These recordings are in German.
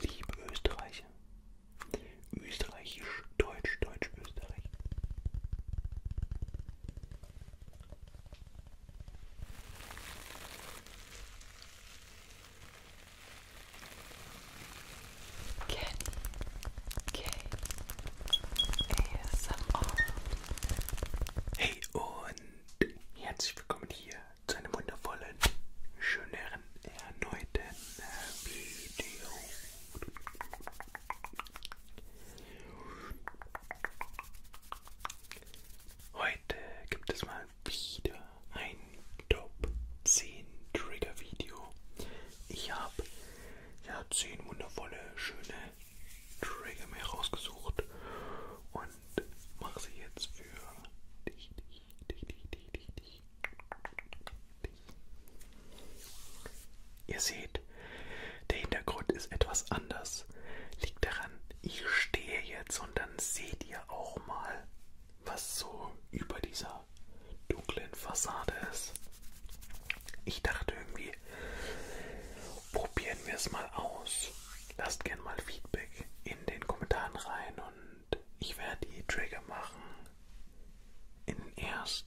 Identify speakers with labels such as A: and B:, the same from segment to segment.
A: Liebe Österreicher, Österreichisch, Deutsch, Deutsch, Österreich. Kenny, K, ASMR. Hey und herzlich willkommen hier zu einem wundervollen, schönen einem erneuten äh, Video. Heute gibt es mal wieder ein Top 10 Trigger Video. Ich habe ja 10 wundervolle, schöne Trigger mir rausgesucht und mache sie jetzt für dich, Ihr seht, der Hintergrund ist etwas anders. Liegt daran, ich stehe jetzt und dann seht ihr auch mal, was so über dieser dunklen Fassade ist. Ich dachte irgendwie, probieren wir es mal aus. Lasst gerne mal Feedback in den Kommentaren rein und und ich werde die Trigger machen. In den ersten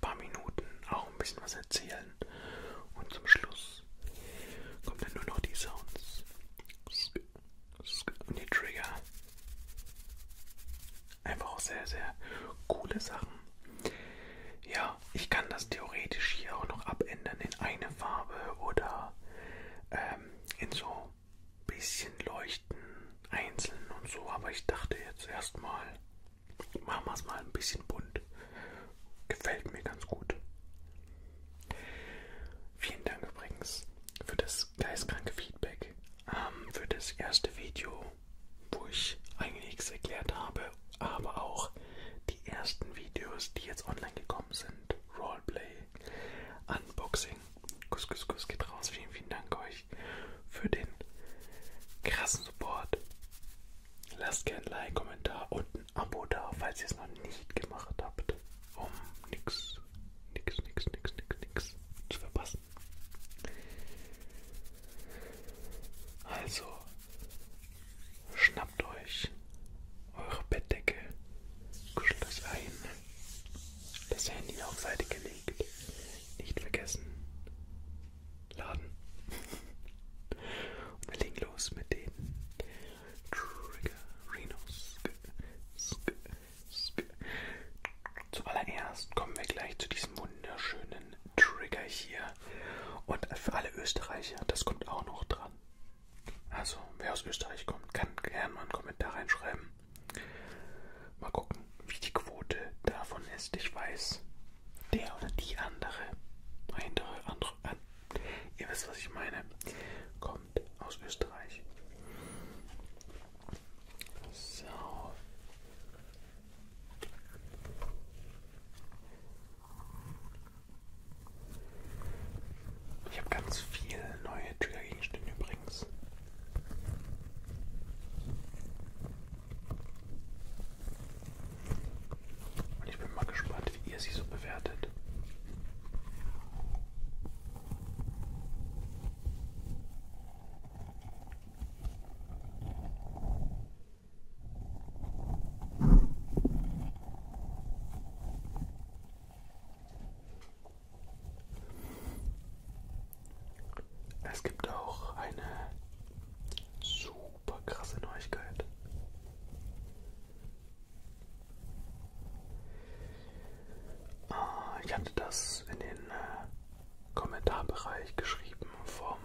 A: paar Minuten auch ein bisschen was erzählen und zum Schluss kommen dann nur noch die Sounds und die Trigger. Einfach auch sehr, sehr coole Sachen. Ja, ich kann das theoretisch hier auch noch abändern in eine Farbe oder ähm, in so bisschen leuchten, einzeln und so, aber ich dachte jetzt erstmal, machen wir es mal ein bisschen bunt. Gefällt mir ganz gut. Vielen Dank übrigens für das geistkranke Feedback, ähm, für das erste Video, wo ich eigentlich nichts erklärt habe, aber auch die ersten Videos, die jetzt online gekommen sind. Roleplay, Unboxing. Kuss, kuss, kuss geht raus. Vielen, vielen Dank euch herzlich für den krassen Support. Lasst gerne ein Like, Kommentar und ein Abo da, falls ihr es noch nicht gemacht habt, um nichts, nix, nix, nix, nix, nix zu verpassen. Also schnappt euch eure Bettdecke, kuschelt euch ein das Handy auf Seite gelegt. Nicht vergessen. Laden. Und wir legen los mit den Triggerinos. Zuallererst kommen wir gleich zu diesem wunderschönen Trigger hier. Und für alle Österreicher, das kommt auch noch dran. Also, wer aus Österreich kommt, kann gerne mal einen Kommentar reinschreiben. Mal gucken, wie die Quote davon ist. Ich weiß, der oder die andere, andere, andere, an, ihr wisst, was ich meine, kommt aus Österreich. So. Ich habe ganz viele neue Triggergegenstände übrigens übrigens. Und ich bin mal gespannt, wie ihr sie so bewertet. Es gibt auch eine super krasse Neuigkeit. Ah, ich hatte das in den äh, Kommentarbereich geschrieben vom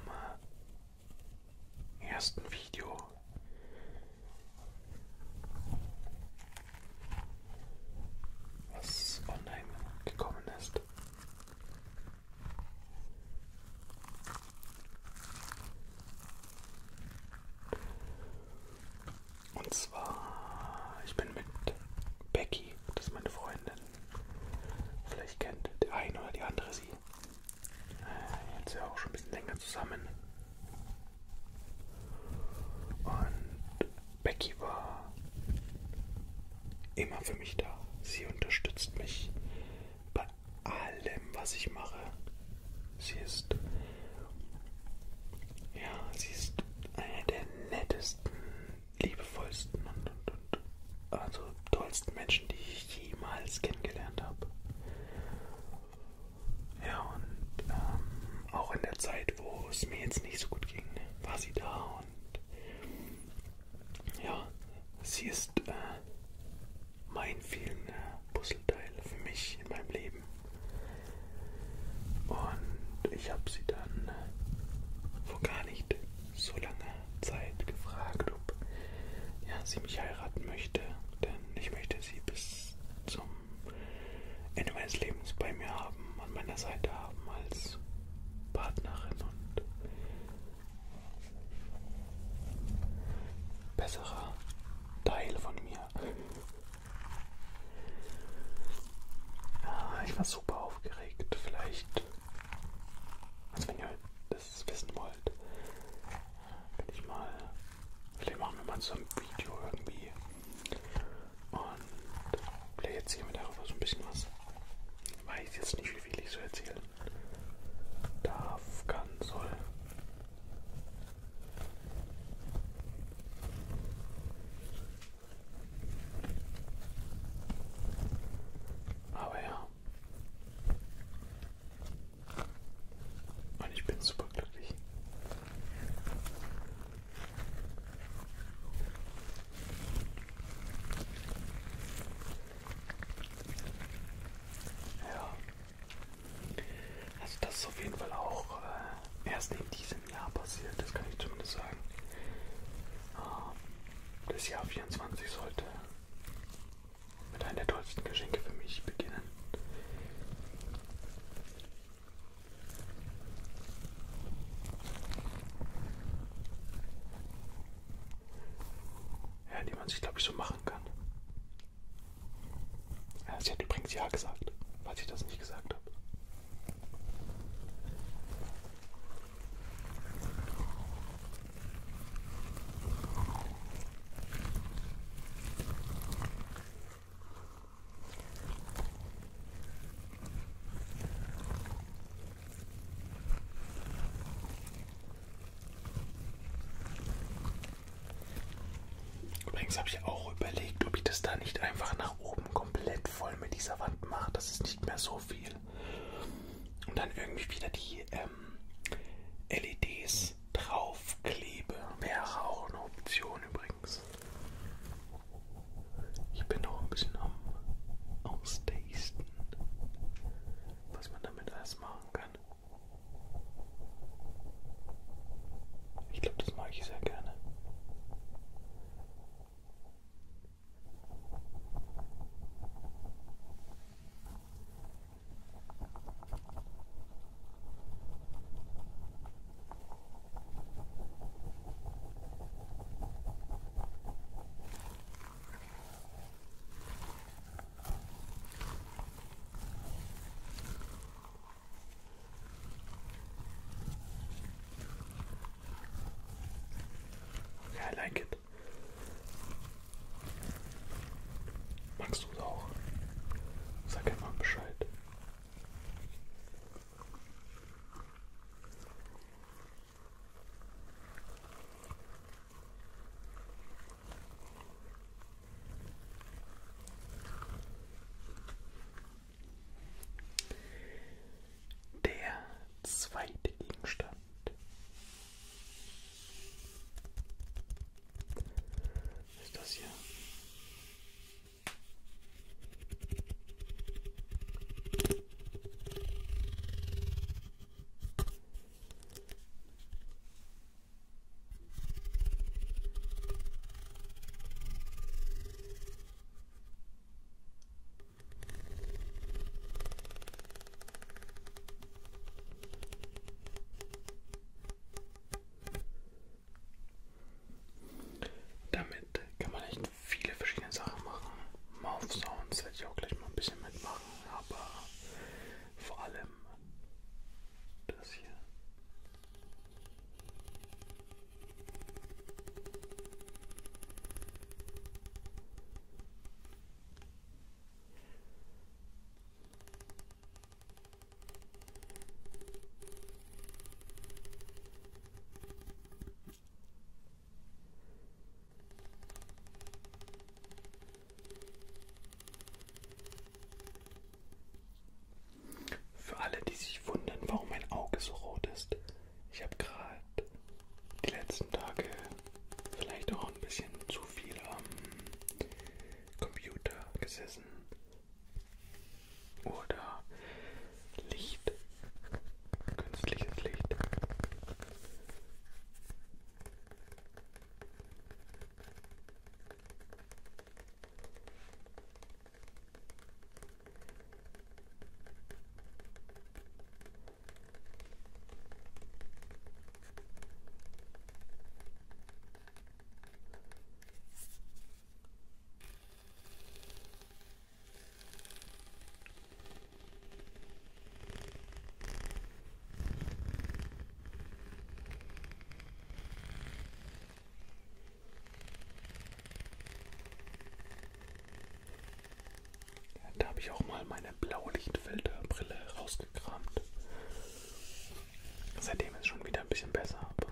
A: äh, ersten Video was online gekommen ist. Und zwar, ich bin mit Becky, das ist meine Freundin. Vielleicht kennt der eine oder die andere sie. Äh, jetzt ja auch schon ein bisschen länger zusammen. Und Becky war immer für mich da. Sie unterstützt mich bei allem, was ich mache. Sie ist, ja, sie ist eine der nettesten, liebevollsten und, und, und also tollsten Menschen, die ich jemals kennengelernt habe. Ja, und ähm, auch in der Zeit, wo es mir jetzt nicht so gut ging, ne? war sie da und ja, sie ist äh, mein vielen äh, Puzzleteil für mich in meinem Leben. Und ich habe sie dann äh, vor gar nicht so langer Zeit gefragt, ob ja, sie mich heiraten möchte, denn ich möchte sie bis zum Ende meines Lebens bei mir haben, an meiner Seite haben als Partnerin und besserer Teil von mir. Ah, ich war super aufgeregt. Vielleicht, also wenn ihr das wissen wollt, bin ich mal, vielleicht machen wir mal so ein Video irgendwie und vielleicht erzählen wir darüber so ein bisschen was. Weiß jetzt nicht, wie viel ich so erzählen darf, kann, soll. Aber ja. Und ich bin super glücklich. Ja. Also das ist auf jeden Fall auch äh, erst in diesem Jahr passiert, das kann ich zumindest sagen. Äh, das Jahr 24 sollte mit einem der tollsten Geschenke für mich beginnen. Ja, die man sich, glaube ich, so machen kann. Ja, sie hat übrigens Ja gesagt, weil ich das nicht gesagt habe. Übrigens habe ich auch überlegt, ob ich das da nicht einfach nach oben komplett voll mit dieser Wand mache. Das ist nicht mehr so viel. Und dann irgendwie wieder die ähm, LEDs draufklebe. Wäre auch eine Option übrigens. Ich bin noch ein bisschen am Austasten, was man damit alles machen kann. Ich glaube, das mag ich sehr gerne. Okay, I like it. Magst du es auch? Sag einfach Bescheid. Der zweite Gegenstand ist das hier. Damit kann man echt viele verschiedene Sachen machen. Mouth Sounds werde ich auch gleich mal ein bisschen mitmachen, aber vor allem das hier. Für alle, die sich wundern, warum mein Auge so rot ist, ich habe gerade die letzten Tage vielleicht auch ein bisschen zu viel am Computer gesessen oder Licht, künstliches Licht. Ja, da habe ich auch mal meine blaue Lichtfilterbrille rausgekramt. Seitdem ist schon wieder ein bisschen besser, aber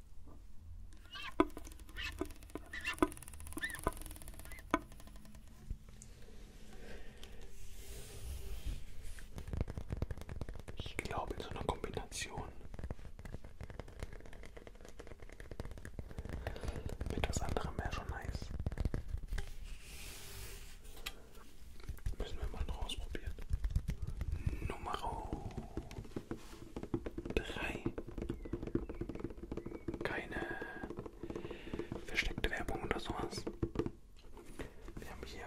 A: Ich glaube in so einer Kombination mit was anderem wäre schon nice. Müssen wir mal noch ausprobieren. Nummer Drei. Keine versteckte Werbung oder sowas. Wir haben hier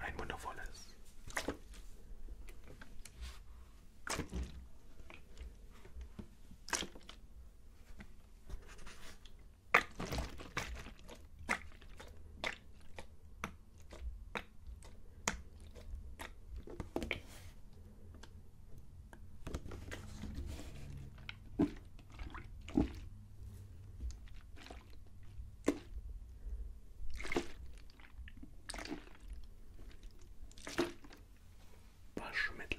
A: ein wundervolles Waschmittel.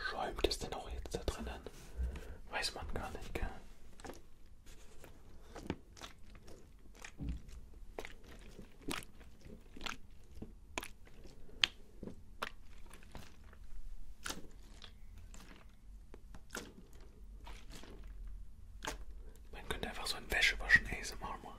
A: Schäumt es denn auch jetzt da drinnen? Weiß man gar nicht, gell? Man könnte einfach so ein Wäschewaschen ASMR machen.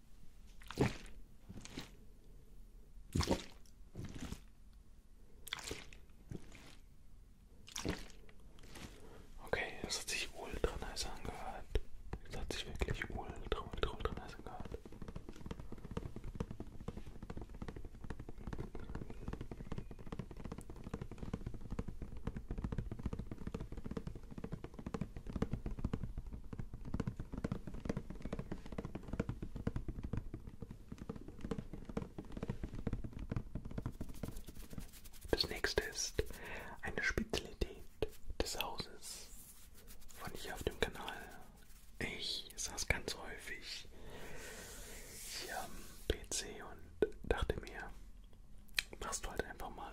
A: Okay, das hat sich ultra nice angehört. Das hat sich wirklich ultra, ultra, ultra nice angehört. Das nächste ist eine Spezialität des Hauses von hier auf dem Kanal. Ich saß ganz häufig hier am PC und dachte mir, machst du halt einfach mal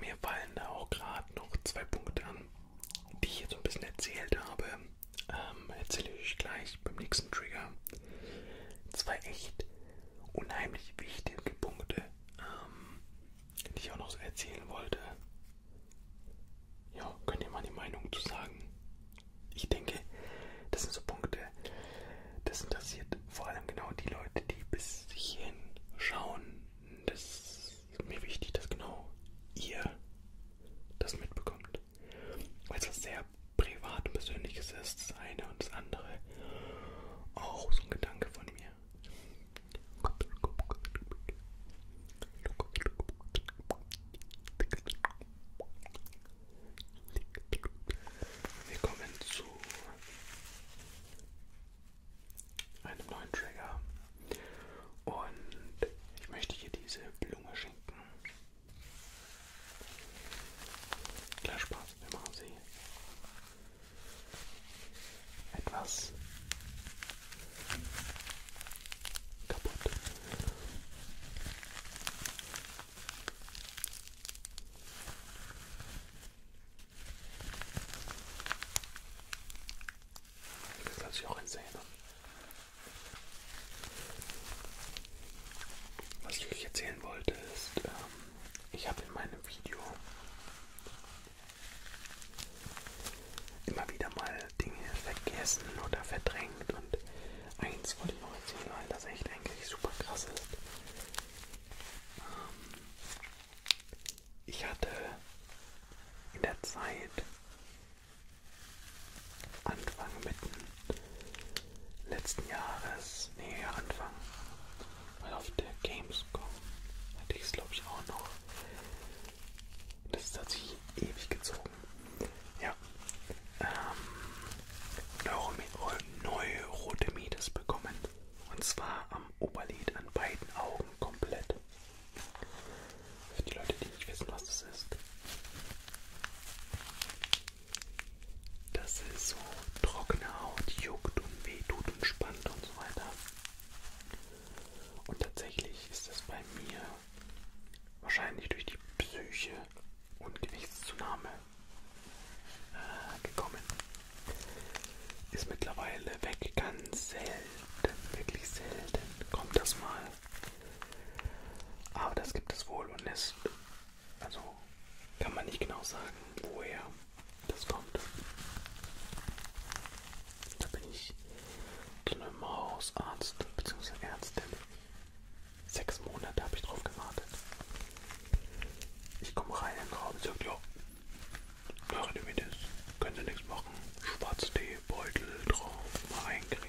A: Mir fallen da auch gerade noch zwei Punkte an, die ich jetzt ein bisschen erzählt habe. Ähm, erzähle ich gleich beim nächsten Trigger. Zwei echt unheimlich wichtige Punkte, ähm, die ich auch noch so erzählen wollte. Ja, könnt ihr mal die Meinung zu sagen? ich denke, das sind so Punkte, das interessiert vor allem genau die Leute, die bis hierhin schauen. Das ist mir wichtig, dass genau ihr das mitbekommt. Weil es was sehr privat und persönliches ist, das eine und das andere. Auch so ein Gedanke von mir. Wir kommen zu einem neuen Trigger und ich möchte hier diese Blume schenken. Klar Spaß, wir machen sie etwas kaputt. Das lasse ich auch einsehen. Was ich euch erzählen wollte ist, ähm, ich habe in meinem Video immer wieder mal Dinge vergessen oder verdrängt und eins wollte ich noch erzählen, weil das echt eigentlich super krass ist. Ähm, ich hatte in der Zeit Anfang mitten letzten Jahres, nee Anfang, weil auf der Gamescom hatte ich es glaube ich auch noch. Das hat sich ewig gezogen gucken. Ja. Ähm, Neurodermitis bekommen. Und zwar am Oberlid an beiden Augen komplett. Für die Leute, die nicht wissen, was das ist. Das ist so trockene Haut, juckt und wehtut und spannt und so weiter. Und tatsächlich ist das bei mir wahrscheinlich durch die Psyche und Gewichtszunahme äh, gekommen. Ist mittlerweile weg, ganz selten, wirklich selten kommt das mal. Aber das gibt es wohl und es, also kann man nicht genau sagen, woher das kommt. Da bin ich zu einem Hausarzt bzw. Ärztin Sechs Monate habe ich drauf gewartet. Ich komme rein in den Raum und sage, ja, machen Sie mir das. Können Sie nichts machen. Schwarztee, Beutel drauf, mal eincremen.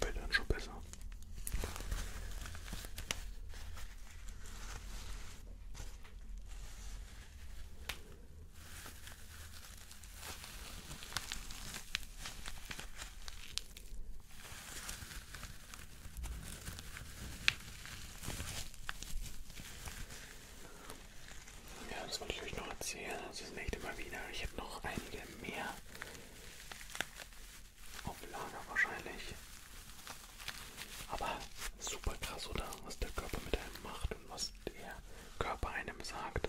A: Wird dann schon besser. Ja, das wollte ich euch noch erzählen, also das nächste Mal wieder. Ich hätte noch einige mehr auf Lager wahrscheinlich. Aber super krass, oder? Was der Körper mit einem macht und was der Körper einem sagt.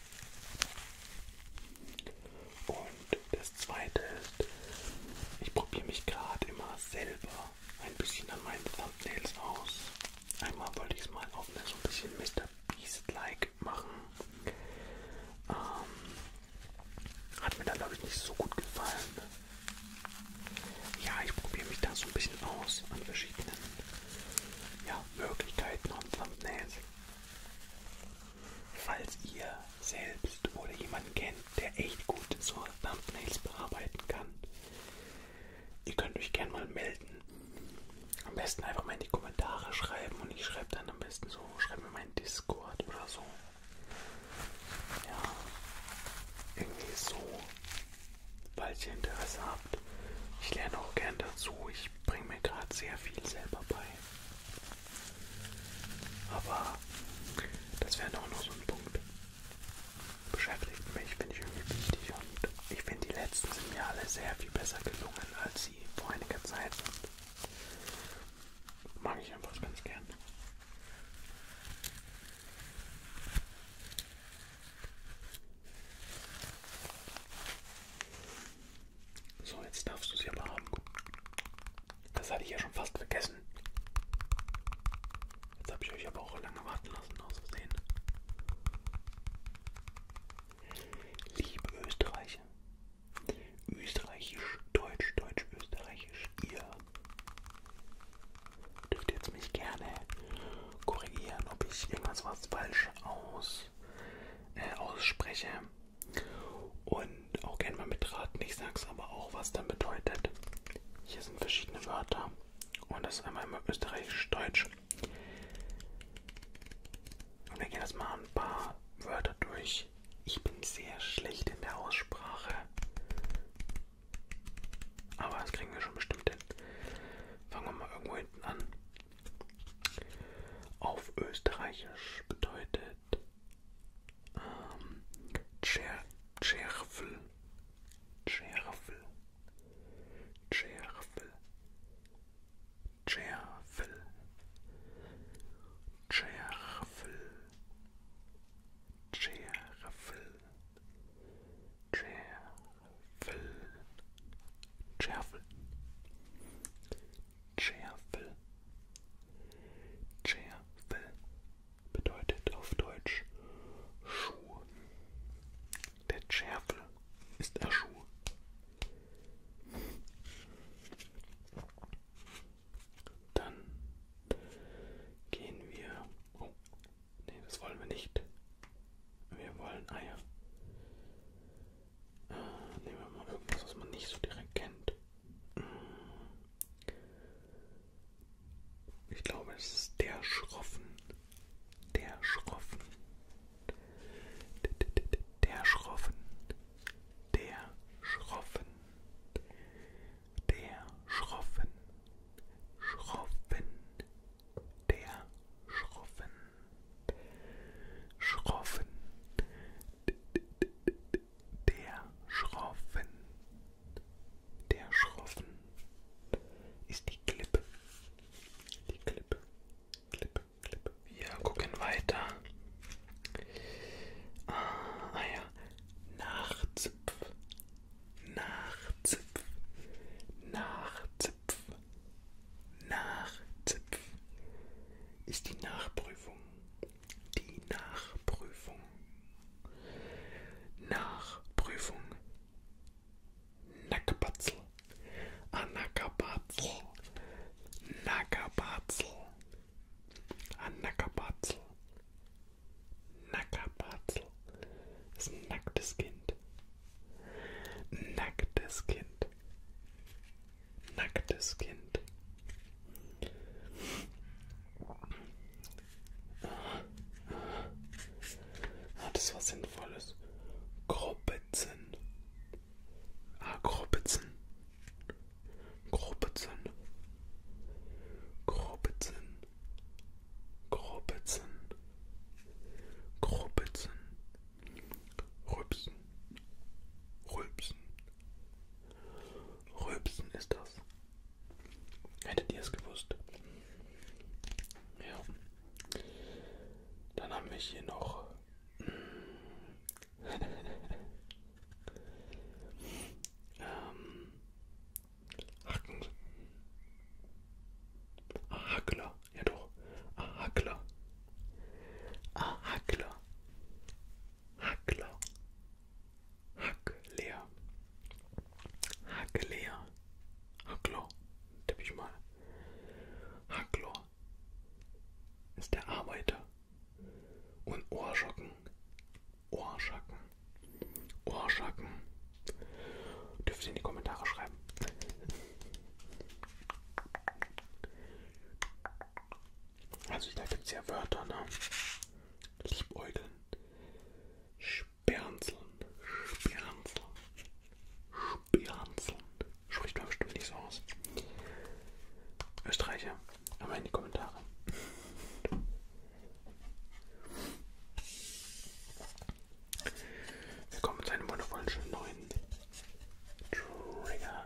A: Und das zweite ist, ich probiere mich gerade immer selber ein bisschen an meinen Thumbnails aus. Einmal wollte ich es mal auf eine so ein bisschen Mr. Beast-like machen. Ähm, hat mir dann glaube ich nicht so gut gefallen. Ja, ich probiere mich da so ein bisschen aus an verschiedenen ja, Möglichkeiten und Thumbnails. Falls ihr selbst oder jemanden kennt, der echt gut so Thumbnails bearbeiten kann, ihr könnt euch gerne mal melden. Am besten einfach mal in die Kommentare schreiben und ich schreibe dann am besten so, schreibe mir meinen Discord oder so. Ja, irgendwie so, falls ihr Interesse habt. Ich lerne auch gern dazu. Ich bringe mir gerade sehr viel selber bei. Aber das wäre auch noch so ein Punkt. Beschäftigt mich, finde ich irgendwie wichtig und ich finde die letzten sind mir alle sehr viel besser gelungen, als sie vor einiger Zeit sind. Mag ich einfach ganz gern. So, jetzt darfst du sie aber haben. Das hatte ich ja schon fast vergessen. Jetzt habe ich euch aber auch lange warten lassen, aus Versehen. Liebe Österreicher, österreichisch, deutsch, deutsch, österreichisch, ihr dürft jetzt mich gerne korrigieren, ob ich irgendwas was falsch aus, äh, ausspreche. Und auch gerne mal mitraten. Ich sag's aber auch, was dann bedeutet. Hier sind verschiedene Wörter. Und das ist einmal immer österreichisch-deutsch. Und wir gehen jetzt mal ein paar Wörter durch. Ich bin sehr schlecht in der Aussprache. Aber das kriegen wir schon bestimmt hin. Fangen wir mal irgendwo hinten an. Auf Österreichisch bedeutet ähm, Tscherfel, Tscherfel, Tscherfel, Tscherfel, Tscherfel, Tscherfel, Tscherfel, Tscherfel, Schärfel. Schärfel bedeutet auf Deutsch Schuh. Der Schärfel ist der Schuh. Dann gehen wir. Oh, nee, das wollen wir nicht. Wir wollen Eier. Nehmen wir mal irgendwas, was man nicht so direkt kennt. Ich glaube, es ist der Schroffen. Der Schroffen. Der Schroffen. Der Schroffen. Der Schroffen. Schroffen. Der Schroffen. Schroffen. Der Schroffen. Der Schroffen ist die Klippe. Die Klippe. Klippe, Klippe. Wir gucken weiter. Ah, ah ja. Nachzipf. Nachzipf. Nachzipf. Nachzipf ist die Nachprüfung. Die Nachprüfung. Nachprüfung. Nackerbatzel. Anackerbatzel. Ah, Nackerbatzel. Anackerbatzel. Ah, Nackerbatzel. Das ist ein nacktes Kind. Nacktes Kind nacktes Kind. Hat es was Sinnvolles? Grobitzen. Ah, Grobitzen. Grobitzen. Grobitzen. Grobitzen. Grobitzen. Rübsen. Rülpsen. Rülpsen ist das. Hättet ihr es gewusst? Ja. Dann haben wir hier noch. ähm. Hacken. Ah, Hackler. Ja doch. Ah, Hackler. Ah, Hackler. Hackler. Hackler. Hackler. Hackler. Tipp ich mal. Hackler ist der Arbeiter. Und Ohrschocken. Ohrschocken. Ohrschocken. Dürft ihr in die Kommentare schreiben. Also da gibt es ja Wörter, ne? Liebäugeln. Sperranzeln. Sperranzeln. Sperranzeln. Spricht man bestimmt nicht so aus. Österreicher, aber in die Kommentare. Willkommen zu einem wundervollen, schönen neuen Trigger.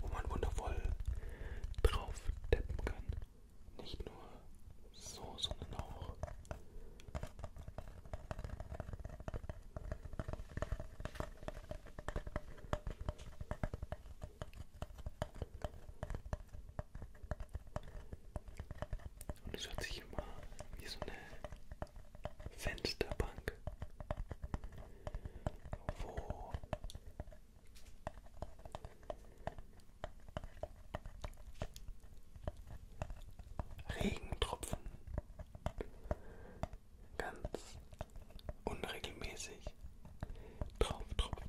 A: Wo man wundervoll drauf tippen kann. Nicht nur so, sondern auch. Und es hört sich immer wie so eine Fensterbank, wo Regentropfen ganz unregelmäßig drauf tropfen.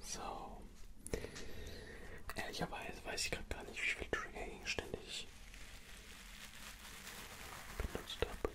A: So. Ehrlicherweise weiß ich gerade gar nicht, wie viel Trigger ich ständig benutzt habe.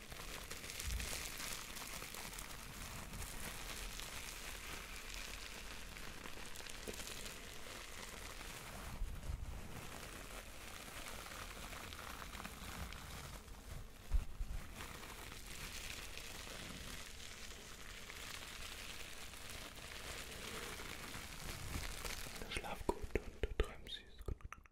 A: Schlaf gut und träum süß.